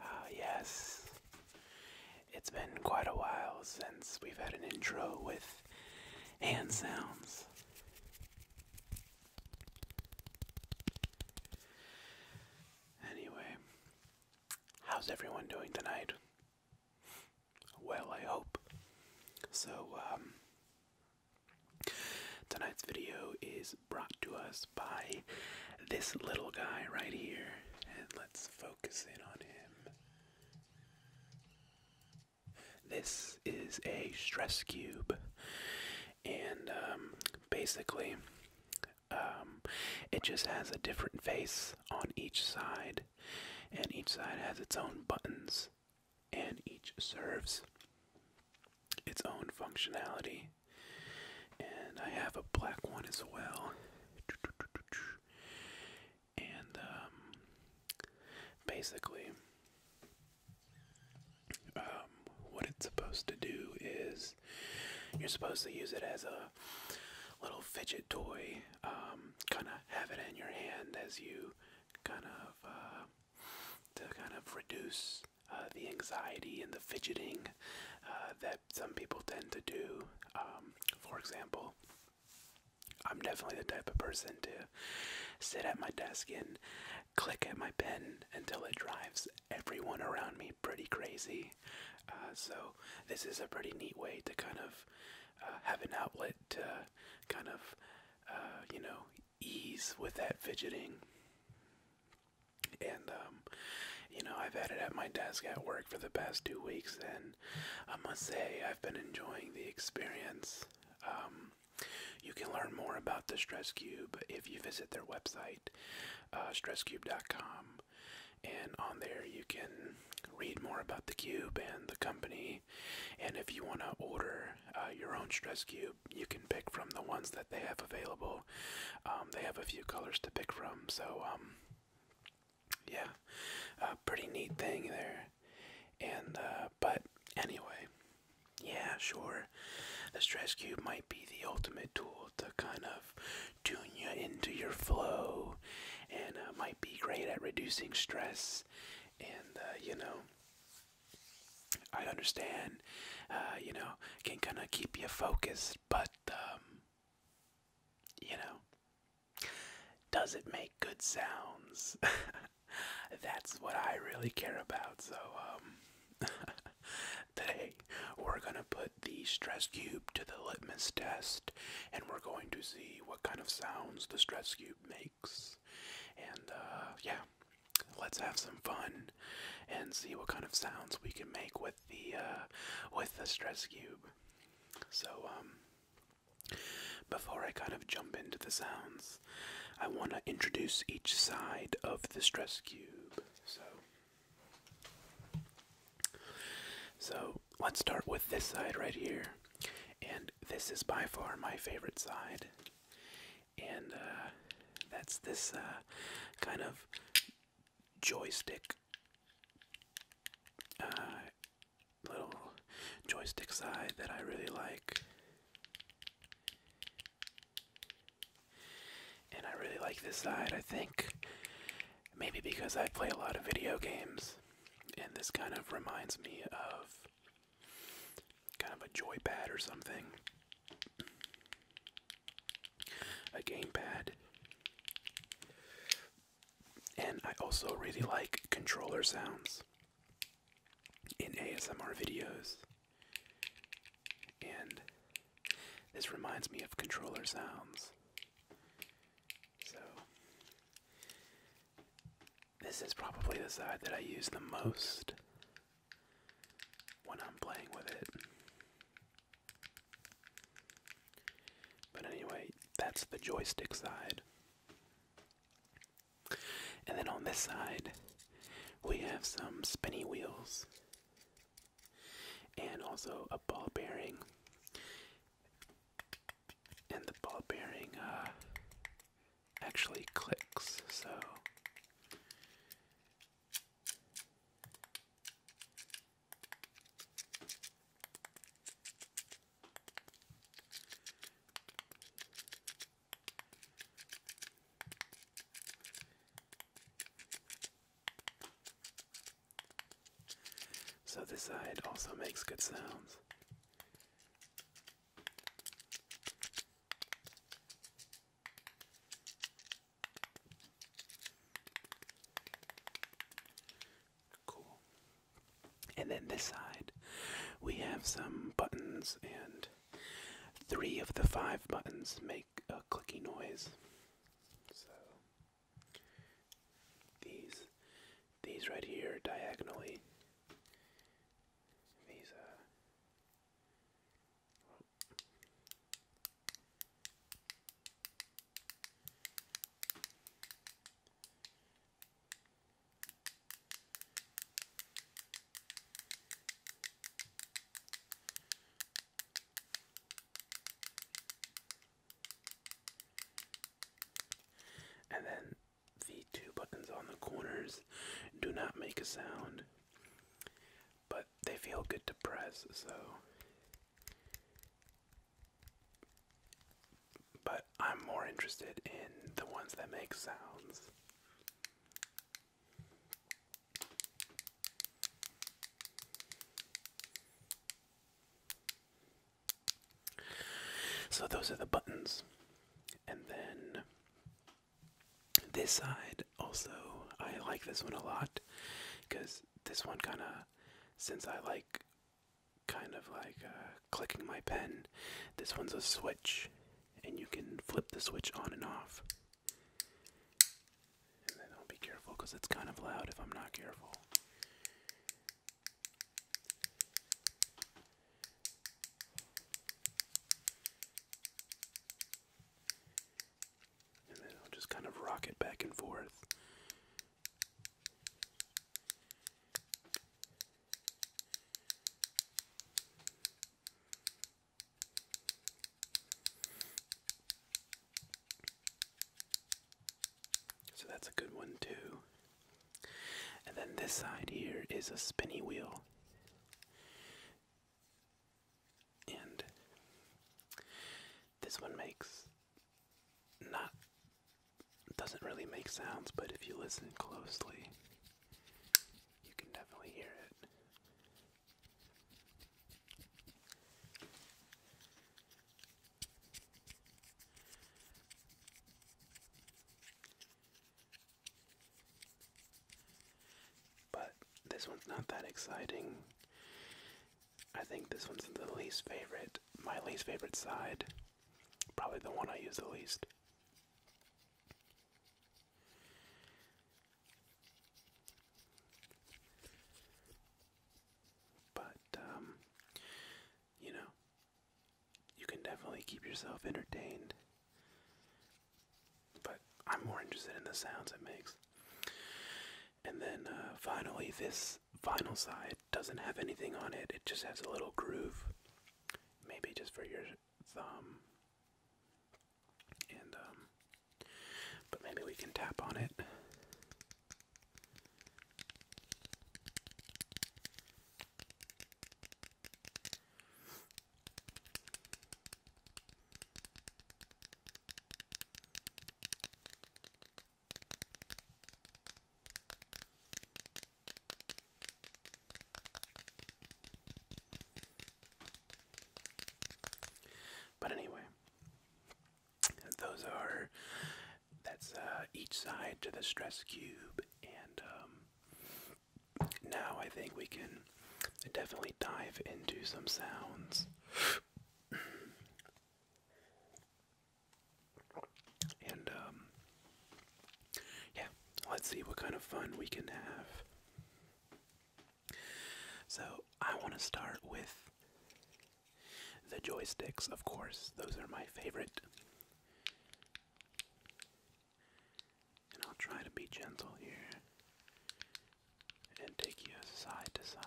Ah, yes. It's been quite a while since we've had an intro with hand sounds. Anyway, how's everyone doing tonight? Well, I hope. So, um, Tonight's video is brought to us by this little guy right here, let's focus in on him. This is a stress cube, and um, basically, um, it just has a different face on each side, and each side has its own buttons and each serves its own functionality. And I have a black one as well. And um, basically, um, what it's supposed to do is you're supposed to use it as a little fidget toy, um, kind of have it in your hand as you kind of uh, to kind of reduce uh, the anxiety and the fidgeting uh, that some people tend to do. Um, for example, I'm definitely the type of person to sit at my desk and click at my pen until it drives everyone around me pretty crazy. Uh, so, this is a pretty neat way to kind of have an outlet to kind of, you know, ease with that fidgeting. And, um, you know, I've had it at my desk at work for the past two weeks, and I must say, I've been enjoying the experience. Um, you can learn more about the Stress Cube if you visit their website, uh, stresscube.com. And on there, you can read more about the cube and the company and if you want to order uh, your own stress cube, you can pick from the ones that they have available. Um, they have a few colors to pick from, so um, yeah, uh, pretty neat thing there. And uh, but anyway, yeah, sure, the stress cube might be the ultimate tool to kind of tune you into your flow, and might be great at reducing stress, and you know. I understand, uh, you know, can kind of keep you focused, but, um, you know, does it make good sounds? That's what I really care about. So, um, today we're going to put the stress cube to the litmus test and we're going to see what kind of sounds the stress cube makes. And uh, yeah, let's have some fun and see what kind of sounds we can make with the uh, with the stress cube. So um, before I kind of jump into the sounds, I want to introduce each side of the stress cube. So. So let's start with this side right here. And this is by far my favorite side and uh, that's this uh, kind of joystick uh, little joystick side that I really like. And I really like this side, I think. Maybe because I play a lot of video games, and this kind of reminds me of kind of a joypad or something. A gamepad. And I also really like controller sounds in ASMR videos. And this reminds me of controller sounds. So this is probably the side that I use the most when I'm playing with it. But anyway, that's the joystick side. And then on this side, we have some spinny wheels and also a ball bearing. And the ball bearing uh, actually clicks. So so this side also makes good sounds. Cool. And then this side, we have some buttons, and three of the five buttons make a clicky noise. So these, these right here diagonally these uh well, and then the two buttons on the corners do not make a sound, but they feel good to press, so. But I'm more interested in the ones that make sounds. So, those are the buttons. And then this side also, I like this one a lot because this one kind of, since I like kind of like uh, clicking my pen, this one's a switch and you can flip the switch on and off. And then I'll be careful because it's kind of loud if I'm not careful. And then I'll just kind of rock it back and forth. So that's a good one, too. And then this side here is a spinny wheel. And this one makes not doesn't really make sounds, but if you listen closely, you can definitely hear it. But this one's not that exciting. I think this one's the least favorite, my least favorite side. Probably the one I use the least. But, um, you know, you can definitely keep yourself entertained. But I'm more interested in the sounds it makes. And then uh, finally, this final side doesn't have anything on it, it just has a little groove. Maybe just for your thumb. And, um, but maybe we can tap on it. But anyway, those are that's uh, each side to the stress cube, and um, now I think we can definitely dive into some sounds. and um, yeah, let's see what kind of fun we can have. So, I want to start with the joysticks, of course. Those are my favorite. And I'll try to be gentle here and take you side to side.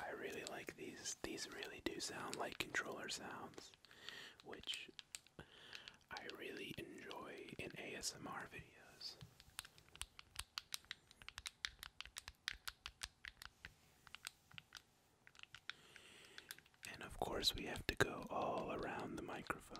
I really like these. These really do sound like controller sounds, which I really enjoy in ASMR videos. And of course, we have to go all around the microphone.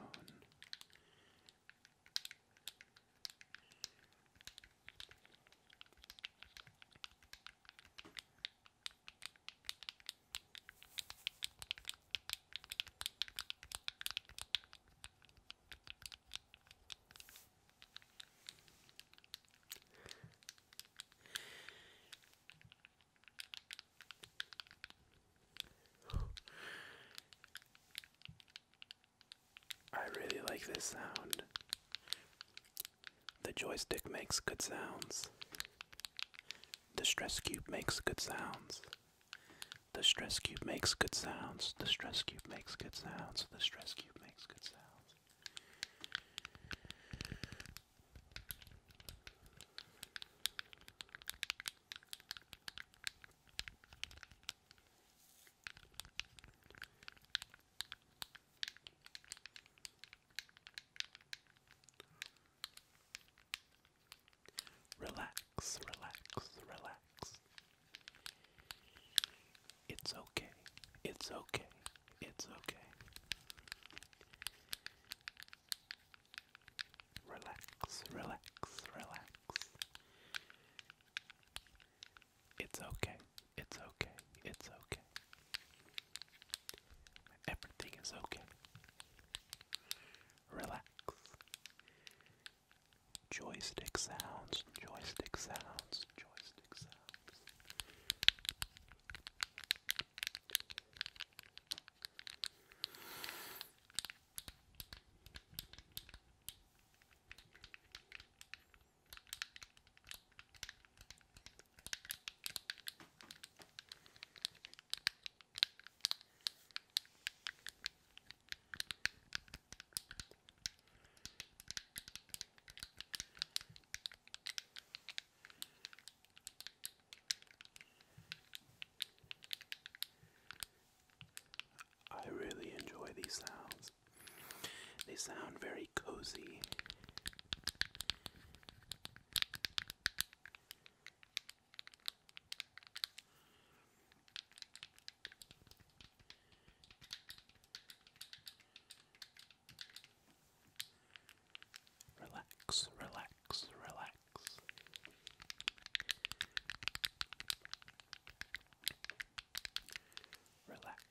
I really like this sound. The joystick makes good sounds. The stress cube makes good sounds. The stress cube makes good sounds. The stress cube makes good sounds. The stress cube makes good sounds. Relax, relax, relax. It's okay. It's okay. It's okay. Relax, relax, relax. It's okay. It's okay. It's okay. Everything is okay. Relax. Joystick sounds, joystick sounds, joystick sounds. I really enjoy these sounds. They sound very cozy. Relax, relax, relax. Relax,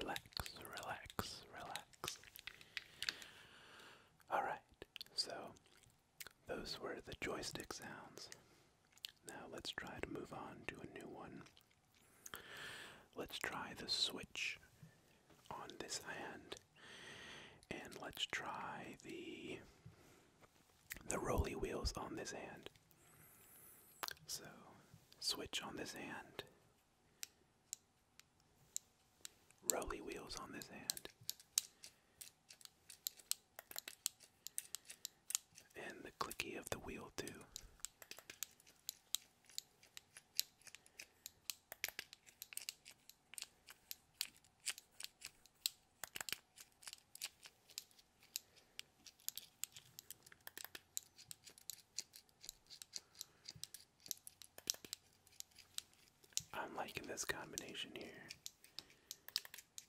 Relax, relax, relax. Alright, so those were the joystick sounds now let's try to move on to a new one. Let's try the switch on this hand. And let's try the the roly wheels on this hand. So, switch on this hand. Roly wheels on this hand. And the clicky of the wheel, too. I'm liking this combination here.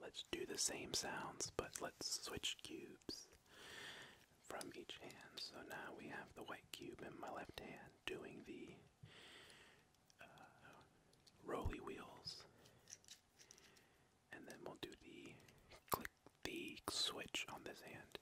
Let's do the same sounds, but let's switch cubes from each hand. So now we have the white cube in my left hand doing the uh, wheels, and then we'll do the click the switch on this hand.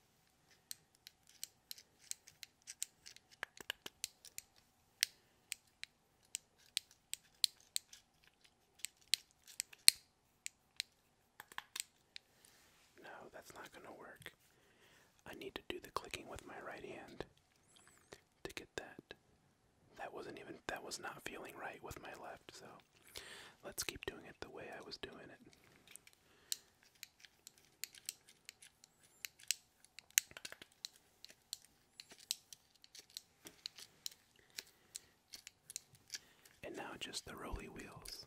No, that's not going to work. I need to do the clicking with my right hand to get that. That wasn't even that was not feeling right with my left so let's keep doing it the way I was doing it. And now just the rolly wheels.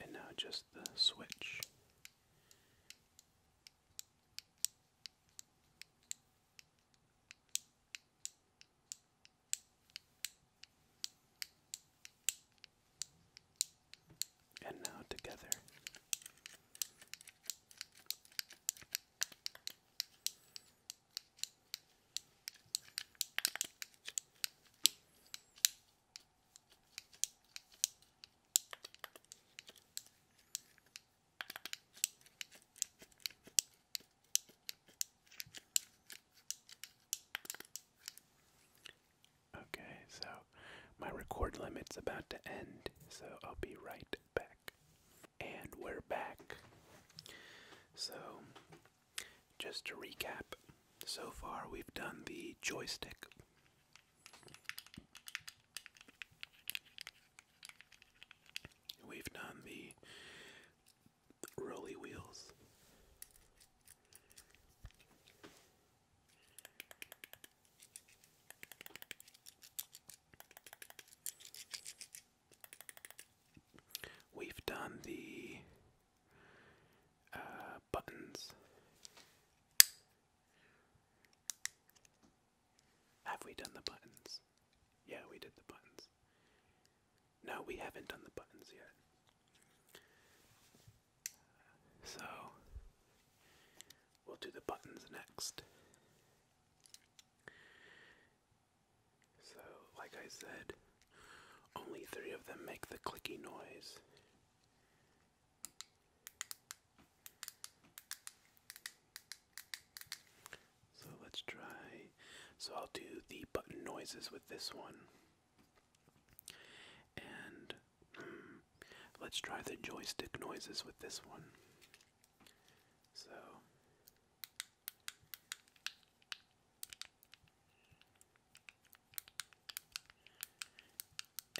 And now just the switch. And now together. Okay, so my record limit's about to end, so I'll be right back and we're back. So, just to recap, so far we've done the joystick. We've done the rolly wheels. We've done the uh, buttons. Have we done the buttons? Yeah, we did the buttons. No, we haven't done the buttons yet. So, we'll do the buttons next. So, like I said, only three of them make the clicky noise. So let's try. So I'll do the button noises with this one. And hmm, let's try the joystick noises with this one. So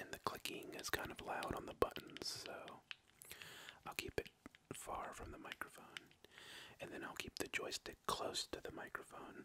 and the clicking is kind of loud on the buttons, so I'll keep it far from the microphone. And then I'll keep the joystick close to the microphone.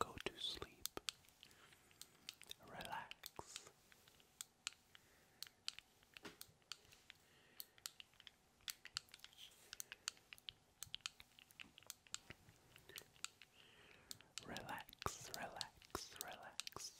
Go to sleep. Relax. Relax, relax, relax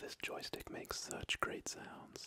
this joystick makes such great sounds.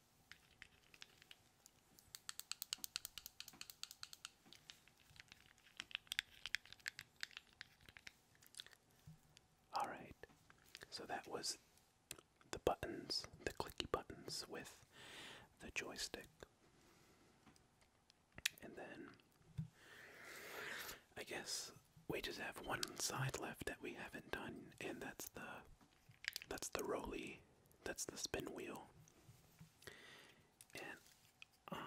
All right. So that was the buttons, the clicky buttons with the joystick. And then I guess we just have one side left that we haven't done, and that's the that's the rolly. That's the spin wheel. And um,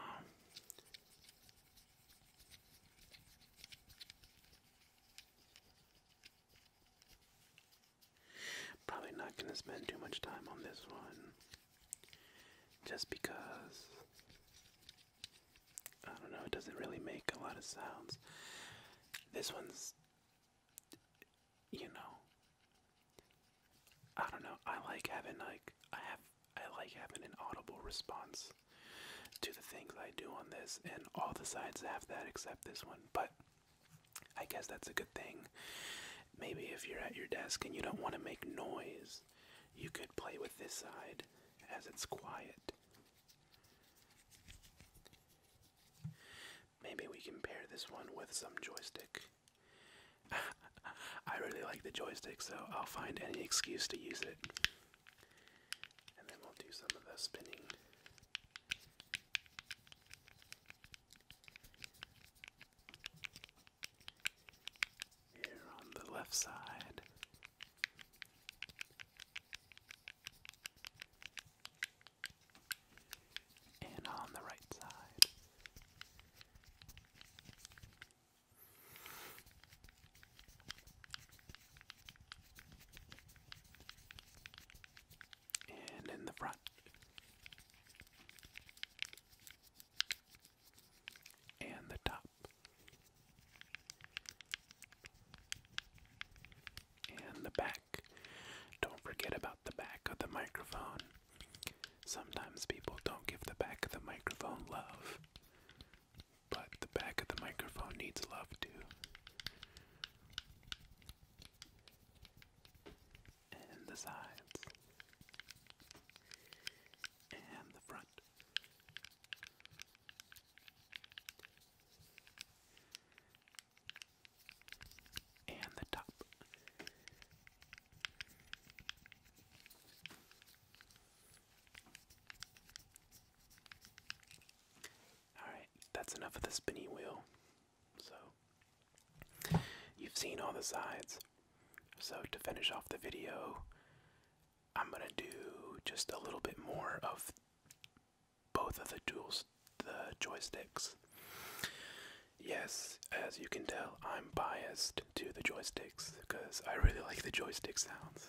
Probably not going to spend too much time on this one. Just because. I don't know, it doesn't really make a lot of sounds. This one's you know, I don't know. I like having like I have I like having an audible response to the things I do on this, and all the sides have that except this one. But I guess that's a good thing. Maybe if you're at your desk and you don't want to make noise, you could play with this side as it's quiet. Maybe we can pair this one with some joystick. I really like the joystick, so I'll find any excuse to use it. And then we'll do some of the spinning. Here on the left side and on the right side. And in the front. And the top. And the back. Don't forget about the back of the microphone. Sometimes people don't give the back of the microphone love, but the back of the microphone needs love too. And the sides. And the front and the top. Alright, that's enough of the spinny wheel. So, you've seen all the sides. So, to finish off the video, I'm gonna do just a little bit more of both of the duals, the joysticks. Yes, as you can tell, I'm biased to the joysticks because I really like the joystick sounds.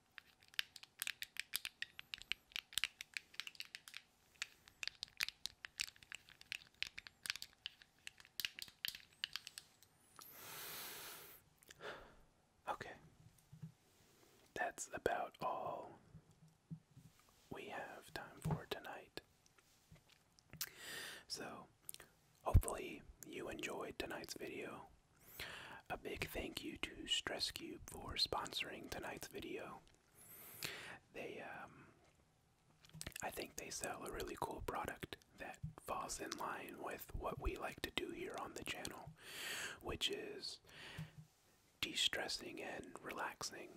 Okay. That's about all we have time for tonight. So, hopefully, you enjoyed tonight's video. A big thank you to StressCube for sponsoring tonight's video. They, um, I think they sell a really cool product that falls in line with what we like to do here on the channel, which is de stressing and relaxing.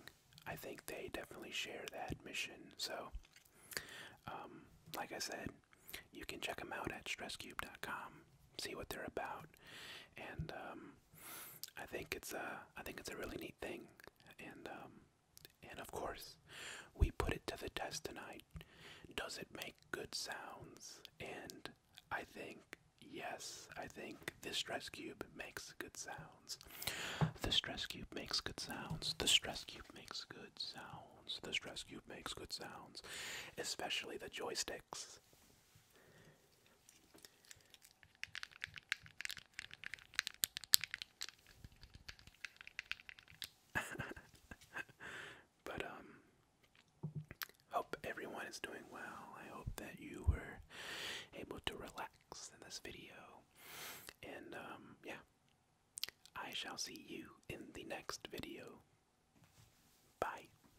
I think they definitely share that mission. So, um, like I said, you can check them out at stresscube.com, see what they're about, and um, I think it's a I think it's a really neat thing, and um, and of course, we put it to the test tonight. Does it make good sounds? And I think yes. I think this stress cube makes good sounds. The stress cube makes good sounds. The stress cube makes good sounds. The stress cube makes good sounds, especially the joysticks. but um hope everyone is doing well. I hope that you were able to relax in this video. And um, yeah. I shall see you in the next video. Bye.